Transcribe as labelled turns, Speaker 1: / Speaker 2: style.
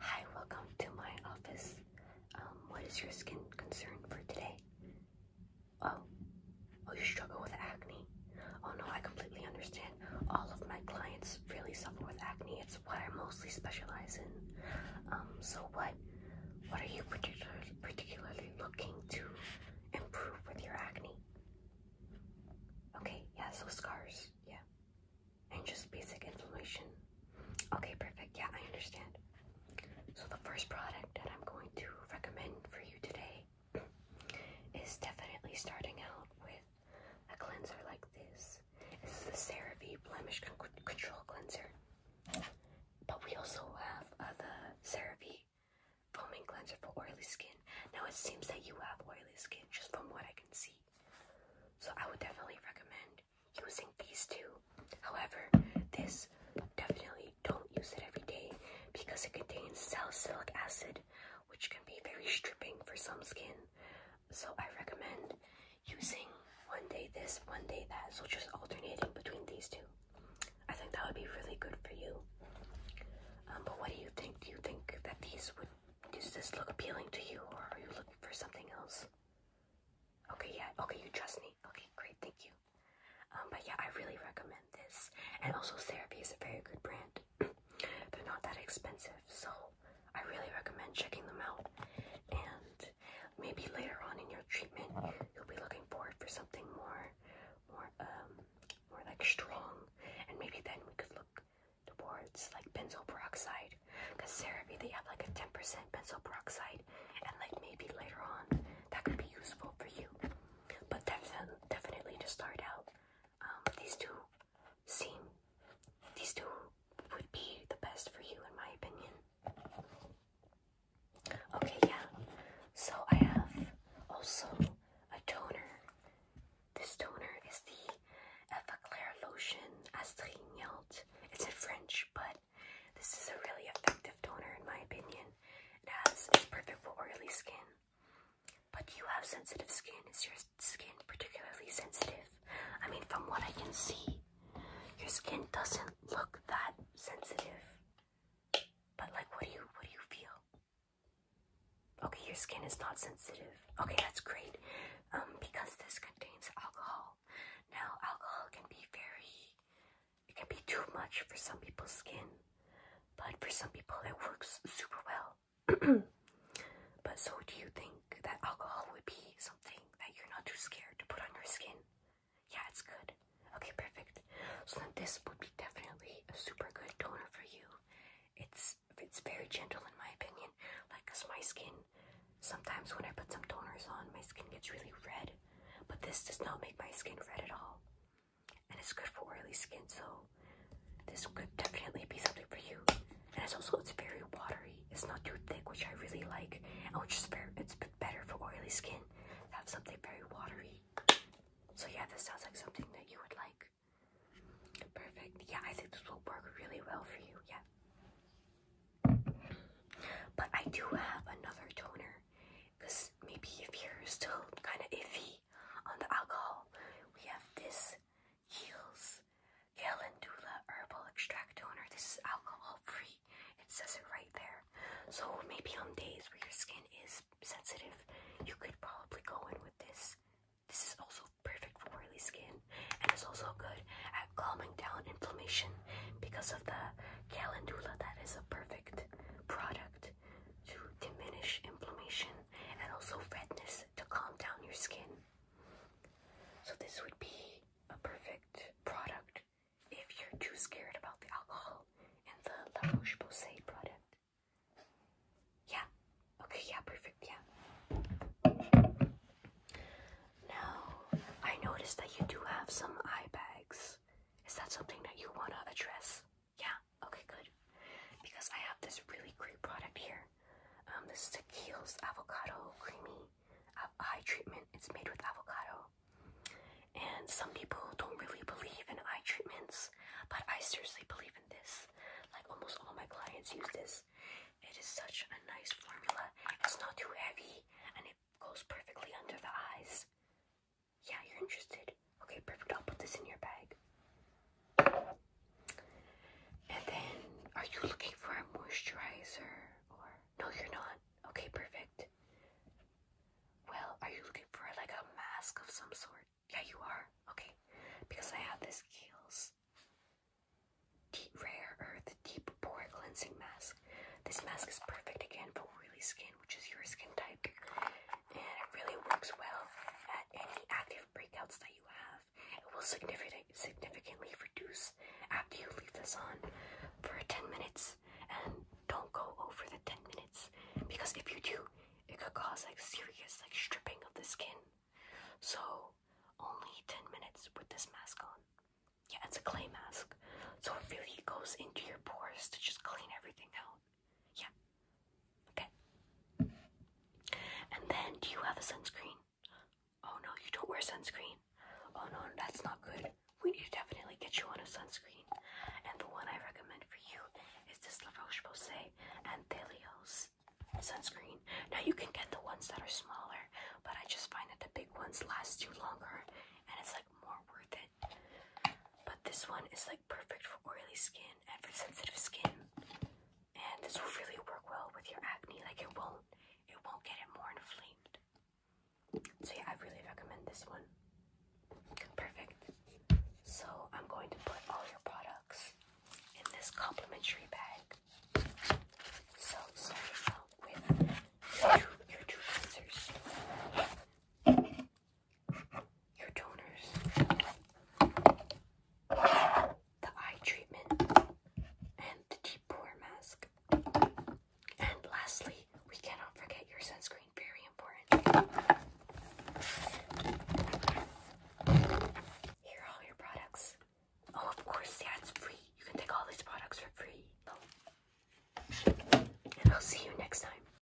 Speaker 1: Hi, welcome to my office. Um, what is your skin concern for today? Oh, oh, you struggle with acne? Oh no, I completely understand. All of my clients really suffer with acne. It's what I mostly specialize in. Um, so what, what are you particularly particularly looking to improve with your acne? Okay, yeah, so scars, yeah and just basic inflammation. Okay, perfect. Yeah, I understand. So, the first product that I'm going to recommend for you today is definitely starting out with a cleanser like this. This is the CeraVe Blemish Control Cleanser. But we also have uh, the CeraVe Foaming Cleanser for oily skin. Now, it seems that you have oily skin just from what I can see. So I would definitely recommend using these two. However, this definitely don't use it every day because it contains salicylic acid, which can be very stripping for some skin. So I recommend using one day this, one day that. So just alternating between these two. I think that would be really good for you. Um, but what do you think? Do you think that these would does this look appealing to you, or are you looking for something else? Okay, yeah, okay, you trust me. Okay, great, thank you. Um, but yeah, I really recommend this. And also, Therapy is a very good brand. They're not that expensive, so I really recommend checking them out. And maybe later on in your treatment, you'll be looking forward for something more, more um, more like strong, and maybe then we could look towards like benzoyl peroxide because CeraVe they have like a 10% benzoyl peroxide and like maybe later on that could be useful for you but def um, definitely to start out um, these two seem these two would be the best for you in my opinion okay yeah so I have also a toner. This toner is the Effaclair Lotion Astringent. It's in French, but this is a really effective toner in my opinion. It has it's perfect for oily skin. But you have sensitive skin. Is your skin particularly sensitive? I mean, from what I can see, your skin doesn't look that sensitive. But like, what do you what do you feel? Okay, your skin is not sensitive. Okay, that's great. Um, because this contains alcohol. Now, alcohol can be very, it can be too much for some people's skin, but for some people it works super well. but so, do you think that alcohol would be something that you're not too scared to put on your skin? Yeah, it's good. Okay, perfect. So this would be definitely a super good toner for you. It's it's very gentle in my opinion. Like, cause my skin, sometimes when I put some toners on, my skin gets really red. But this does not make my skin red at all. And it's good for oily skin, so this could definitely be something for you. And it's also it's very watery. It's not too thick, which I really like, and which is very it's better for oily skin. Have something very watery. So yeah, this sounds like something that you would like. Perfect. Yeah, I think this will work really well for you. Yeah. But I do have another toner because maybe if you're still kind of iffy on the alcohol, we have this Heels Calendula Herbal Extract Toner. This is alcohol free. It says it right there. So maybe on days where your skin is sensitive, you could probably go in with this. This is also perfect for oily skin and it's also good at calming down inflammation because of the calendula. That is a perfect product to diminish inflammation and also redness to calm down your skin. So, this would be a perfect product if you're too scared about the alcohol in the La Roche-Posay product. Yeah. Okay, yeah, perfect, yeah. Now, I noticed that you do have some eye bags. Is that something that you want to address? Yeah, okay, good. Because I have this really great product here. Um, this is Tequil's avocado creamy eye treatment. It's made with avocado. And some people don't really believe in eye treatments, but I seriously believe in this. Like almost all my clients use this. It is such a nice formula. It's not too heavy and it goes perfectly under the eyes. Yeah, you're interested. Okay, perfect. I'll put this in your bag. And then, are you looking for a moisturizer or no, you're not? Okay, perfect. Well, are you looking for like a mask of some sort? Yeah, you are. Okay, because I have this Kiehl's Deep Rare Earth Deep Pore Cleansing Mask. This mask is perfect again for oily skin, which is your skin type, and it really works well at any active breakouts that you have. It will significant, significantly reduce after you leave this on for 10 minutes and don't go over the 10 minutes because if you do, it could cause like serious like stripping of the skin. So only 10 minutes with this mask on. Yeah, it's a clay mask. So it really goes into your pores to just clean everything out. Yeah, Okay. And then, do you have a sunscreen? Oh no, you don't wear sunscreen. Oh no, that's not good. We need to definitely get you on a sunscreen. And the one I recommend for you is this La Roche Posay and Thelios sunscreen. Now you can get the ones that are smaller, but I just find that the big ones last you longer and it's like more worth it. But this one is like perfect for oily skin and for sensitive skin and this will really work well with your acne. Like it won't, it won't get it more inflamed. So yeah, I really recommend this one. Perfect. So I'm going to put all your products in this complimentary bag. So starting out with your two, your your toners, the eye treatment, and the deep pore mask. And lastly, we cannot forget your sunscreen, very important. Here are all your products. Oh, of course, yeah, it's free. You can take all these products for free. And I'll see you next time.